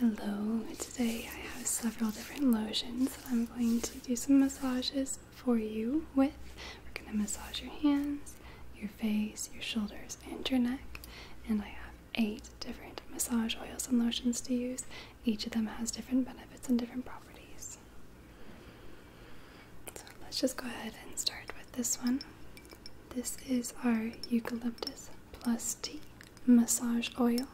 Hello, today I have several different lotions that I'm going to do some massages for you with. We're going to massage your hands, your face, your shoulders, and your neck. And I have eight different massage oils and lotions to use. Each of them has different benefits and different properties. So let's just go ahead and start with this one. This is our eucalyptus plus tea massage oil.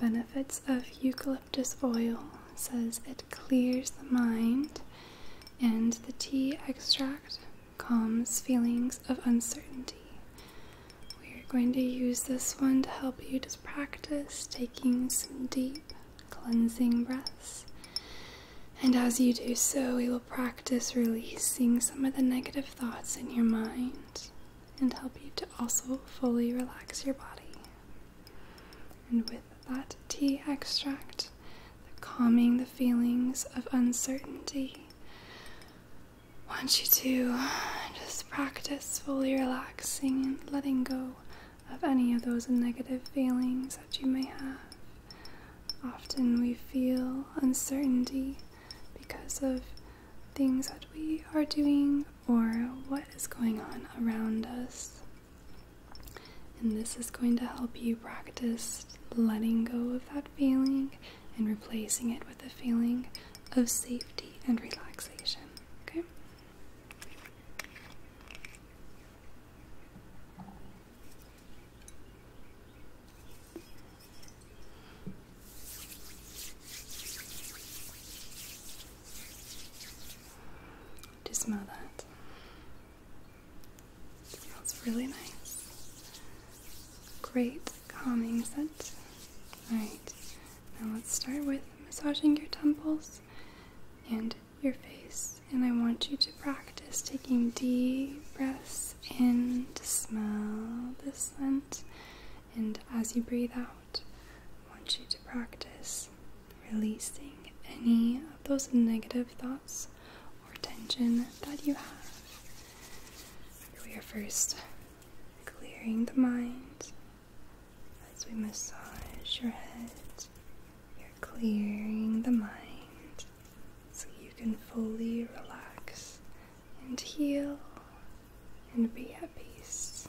Benefits of eucalyptus oil says it clears the mind, and the tea extract calms feelings of uncertainty. We're going to use this one to help you to practice taking some deep cleansing breaths. And as you do so, we will practice releasing some of the negative thoughts in your mind and help you to also fully relax your body. And with that tea extract, calming the feelings of uncertainty, want you to just practice fully relaxing and letting go of any of those negative feelings that you may have. Often we feel uncertainty because of things that we are doing or what is going on around us. And this is going to help you practice letting go of that feeling and replacing it with a feeling of safety and relaxation. Okay? Do smell that? It really nice. Great calming scent. Alright, now let's start with massaging your temples and your face. And I want you to practice taking deep breaths in to smell the scent and as you breathe out, I want you to practice releasing any of those negative thoughts or tension that you have. We are first clearing the mind as we massage your head. You're clearing the mind so you can fully relax and heal and be at peace.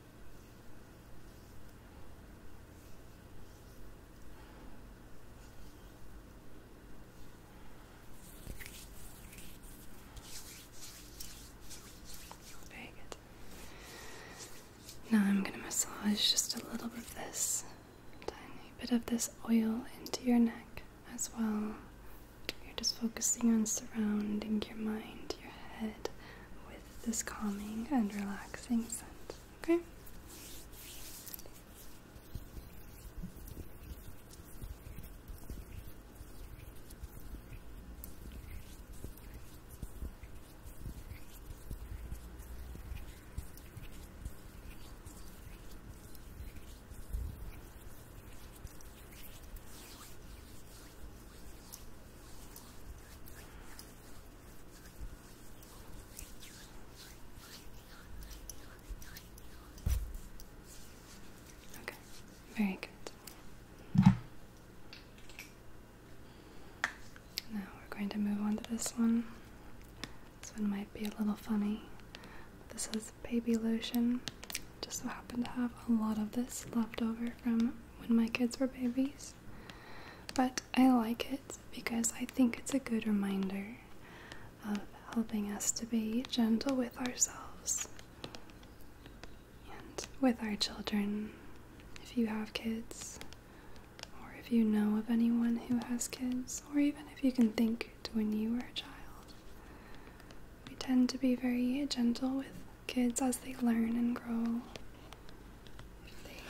Very Now I'm going to massage just a little bit of this, tiny bit of this oil into your neck as well. You're just focusing on surrounding your mind, your head with this calming and relaxing scent. Okay? Okay, very good. Now we're going to move on to this one. This one might be a little funny. This is baby lotion. Just so happened to have a lot of this left over from when my kids were babies. But I like it because I think it's a good reminder of helping us to be gentle with ourselves and with our children. If you have kids, or if you know of anyone who has kids, or even if you can think to when you were a child, we tend to be very gentle with kids as they learn and grow.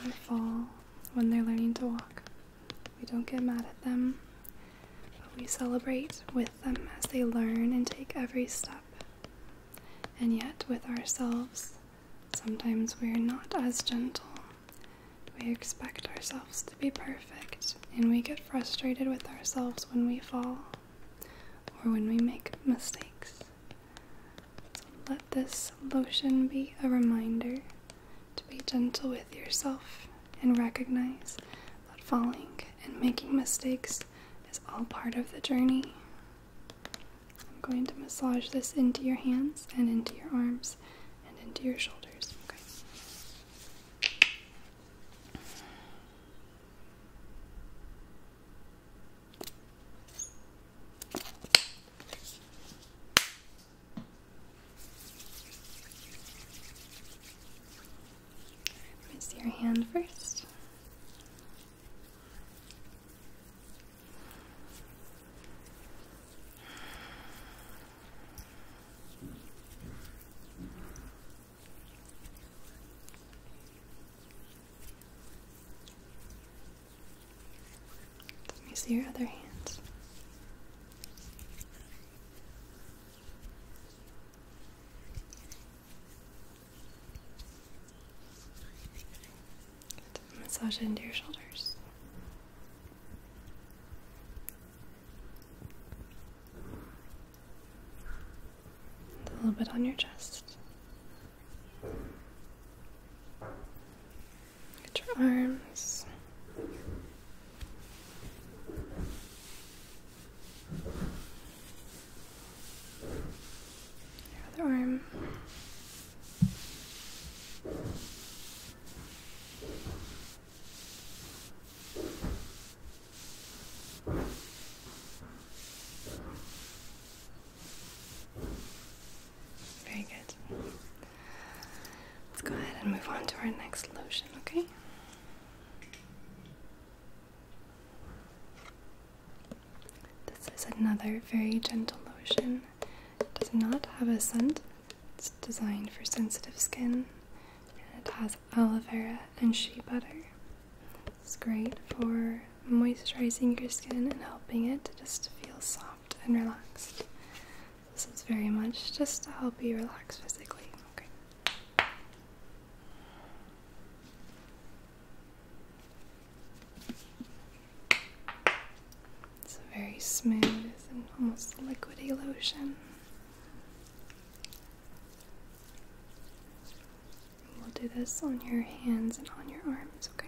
They fall when they're learning to walk. We don't get mad at them, but we celebrate with them as they learn and take every step. And yet, with ourselves, sometimes we're not as gentle. We expect ourselves to be perfect, and we get frustrated with ourselves when we fall or when we make mistakes let this lotion be a reminder to be gentle with yourself and recognize that falling and making mistakes is all part of the journey. I'm going to massage this into your hands and into your arms and into your shoulders. Let me see your hand first. Let me see your other hands. Massage it into your shoulders. a little bit on your chest. Get your arms. Your other arm. Very good. Let's go ahead and move on to our next lotion, okay? This is another very gentle lotion. does not have a scent. It's designed for sensitive skin. And it has aloe vera and shea butter. It's great for moisturizing your skin and helping it to just feel soft and relaxed. This is very much just to help you relax physically. It's a very smooth and almost liquidy lotion. We'll do this on your hands and on your arms, okay?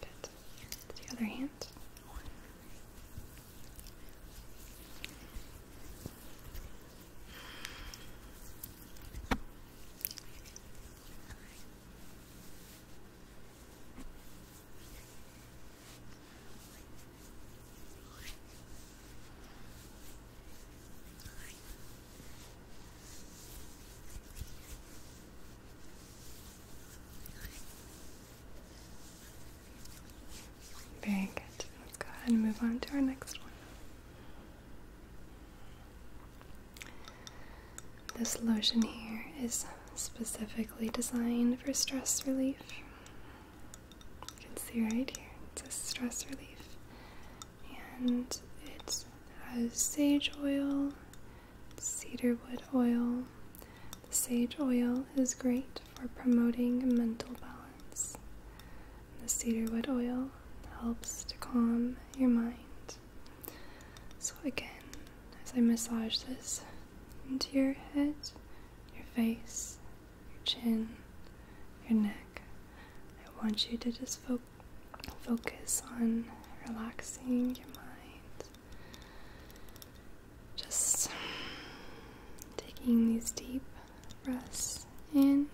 The other hand. Very good. Let's go ahead and move on to our next one. This lotion here is specifically designed for stress relief. You can see right here, it's a stress relief and it has sage oil, cedarwood oil. The sage oil is great for promoting mental balance. The cedarwood oil helps to calm your mind. So, again, as I massage this into your head, your face, your chin, your neck. I want you to just focus on relaxing your mind. Just taking these deep breaths in,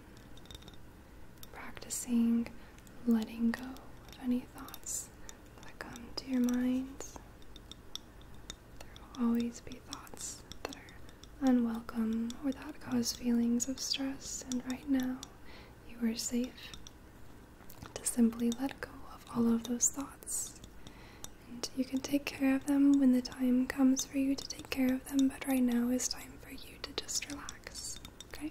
practicing letting go of any thoughts that come to your mind. There will always be thoughts that are unwelcome, or that cause feelings of stress, and right now you are safe to simply let go of all of those thoughts. And you can take care of them when the time comes for you to take care of them, but right now is time for you to just relax, okay?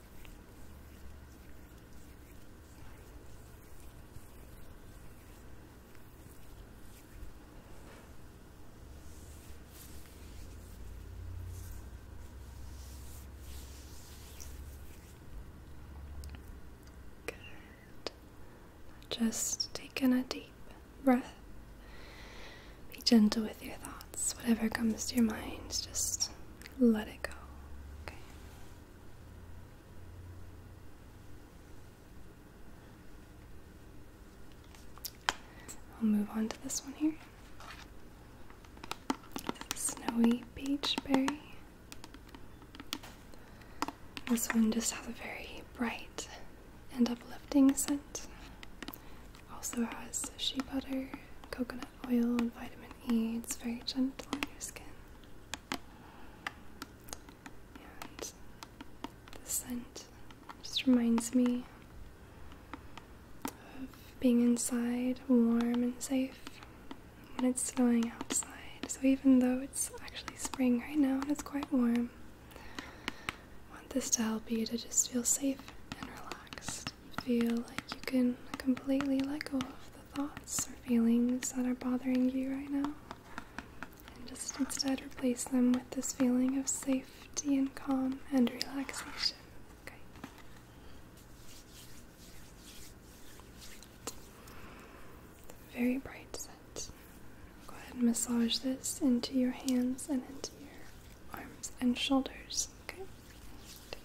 Good. Just take in a deep breath. Be gentle with your thoughts. Whatever comes to your mind, just let it go. Okay. I'll move on to this one here. Snowy Peach Berry. This one just has a very bright and uplifting scent. Also has shea butter, coconut oil and vitamin E. It's very gentle on your skin. And the scent just reminds me of being inside, warm and safe, when it's snowing outside. So even though it's actually spring right now and it's quite warm, I want this to help you to just feel safe and relaxed. Feel like you can completely let go of the thoughts or feelings that are bothering you right now. And just instead replace them with this feeling of safety and calm and relaxation. Okay. Very bright set. Go ahead and massage this into your hands and into your arms and shoulders. Okay.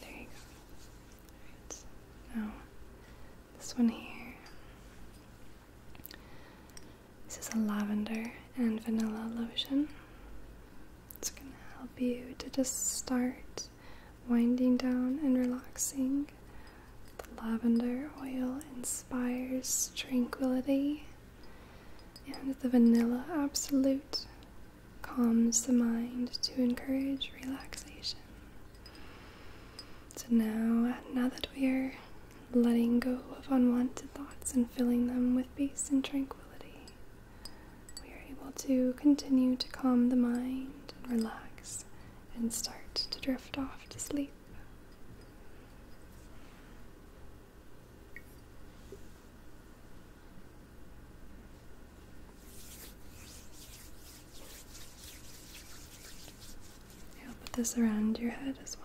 There you go. Now, this one here. This is a lavender and vanilla lotion. It's going to help you to just start winding down and relaxing. The lavender oil inspires tranquility, and the vanilla absolute calms the mind to encourage relaxation. So now, now that we're letting go of unwanted thoughts and filling them with peace and tranquility, we are able to continue to calm the mind and relax and start to drift off to sleep. I'll put this around your head as well.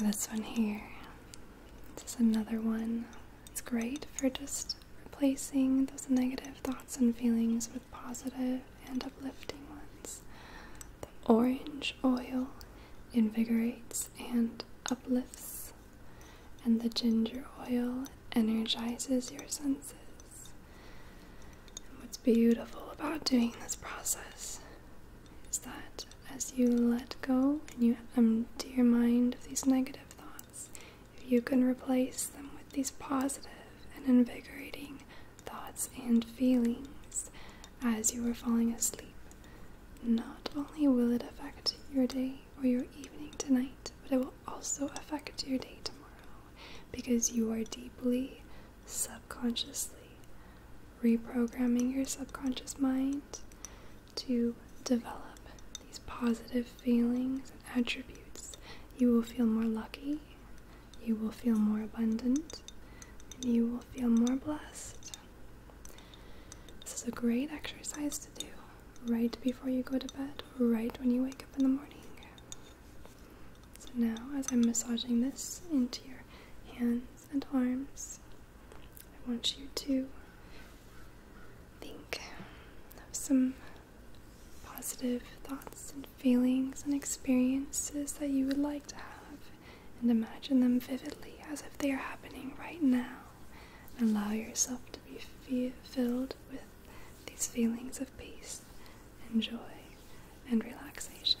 Now, this one here, this is another one it's great for just replacing those negative thoughts and feelings with positive and uplifting ones. The orange oil invigorates and uplifts, and the ginger oil energizes your senses. And what's beautiful about doing this process is that as you let go and you empty your mind of these negative thoughts, if you can replace them with these positive and invigorating thoughts and feelings as you are falling asleep, not only will it affect your day or your evening tonight, but it will also affect your day tomorrow because you are deeply, subconsciously reprogramming your subconscious mind to develop these positive feelings and attributes, you will feel more lucky, you will feel more abundant, and you will feel more blessed. This is a great exercise to do right before you go to bed, right when you wake up in the morning. So now, as I'm massaging this into your hands and arms, I want you to think of some positive thoughts and feelings and experiences that you would like to have and imagine them vividly as if they are happening right now. And allow yourself to be filled with these feelings of peace and joy and relaxation.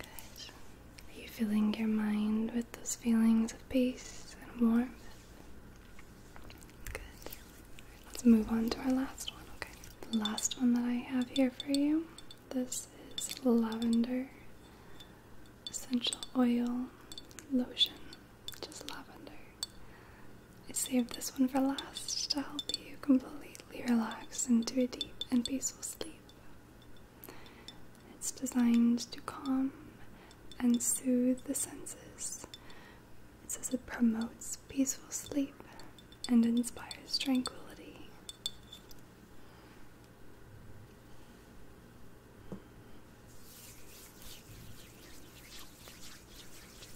Are you filling your mind with those feelings of peace and warmth? Good. Let's move on to our last one, okay? The last one that I have here for you. This is lavender essential oil lotion. Just lavender. I saved this one for last to help you completely relax into a deep and peaceful sleep. It's designed to calm and soothe the senses. It says it promotes peaceful sleep and inspires tranquility.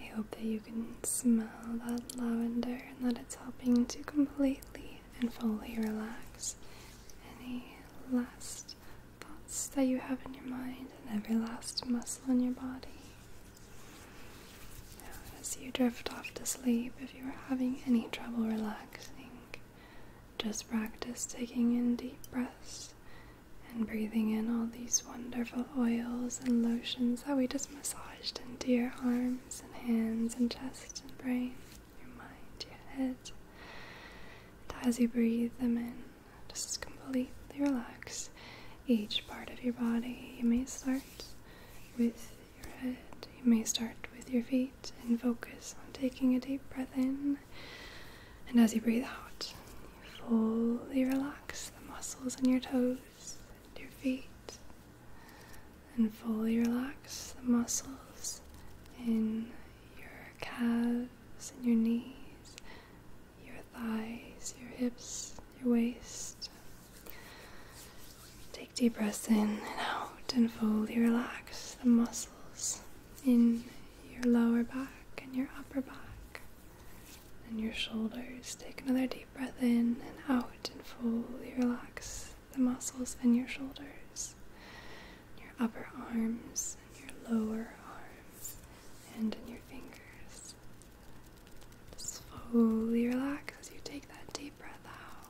I hope that you can smell that lavender and that it's helping to completely and fully relax any last thoughts that you have in your mind and every last muscle in your body as you drift off to sleep, if you are having any trouble relaxing, just practice taking in deep breaths and breathing in all these wonderful oils and lotions that we just massaged into your arms and hands and chest and brain, your mind, your head. And as you breathe them in, just completely relax each part of your body. You may start with your head. You may start with your feet and focus on taking a deep breath in. And as you breathe out, you fully relax the muscles in your toes and your feet. And fully relax the muscles in your calves and your knees, your thighs, your hips, your waist, Take deep breaths in and out and fully relax the muscles in your lower back and your upper back and your shoulders. Take another deep breath in and out and fully relax the muscles in your shoulders, your upper arms, and your lower arms, and in your fingers. Slowly relax as you take that deep breath out.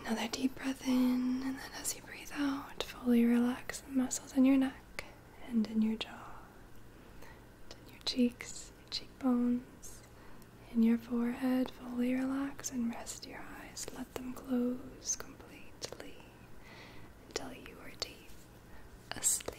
Another deep breath in, and then as you breathe out, fully relax the muscles in your neck and in your jaw, and in your cheeks, your cheekbones, in your forehead. Fully relax and rest your eyes. Let them close completely until you are deep asleep.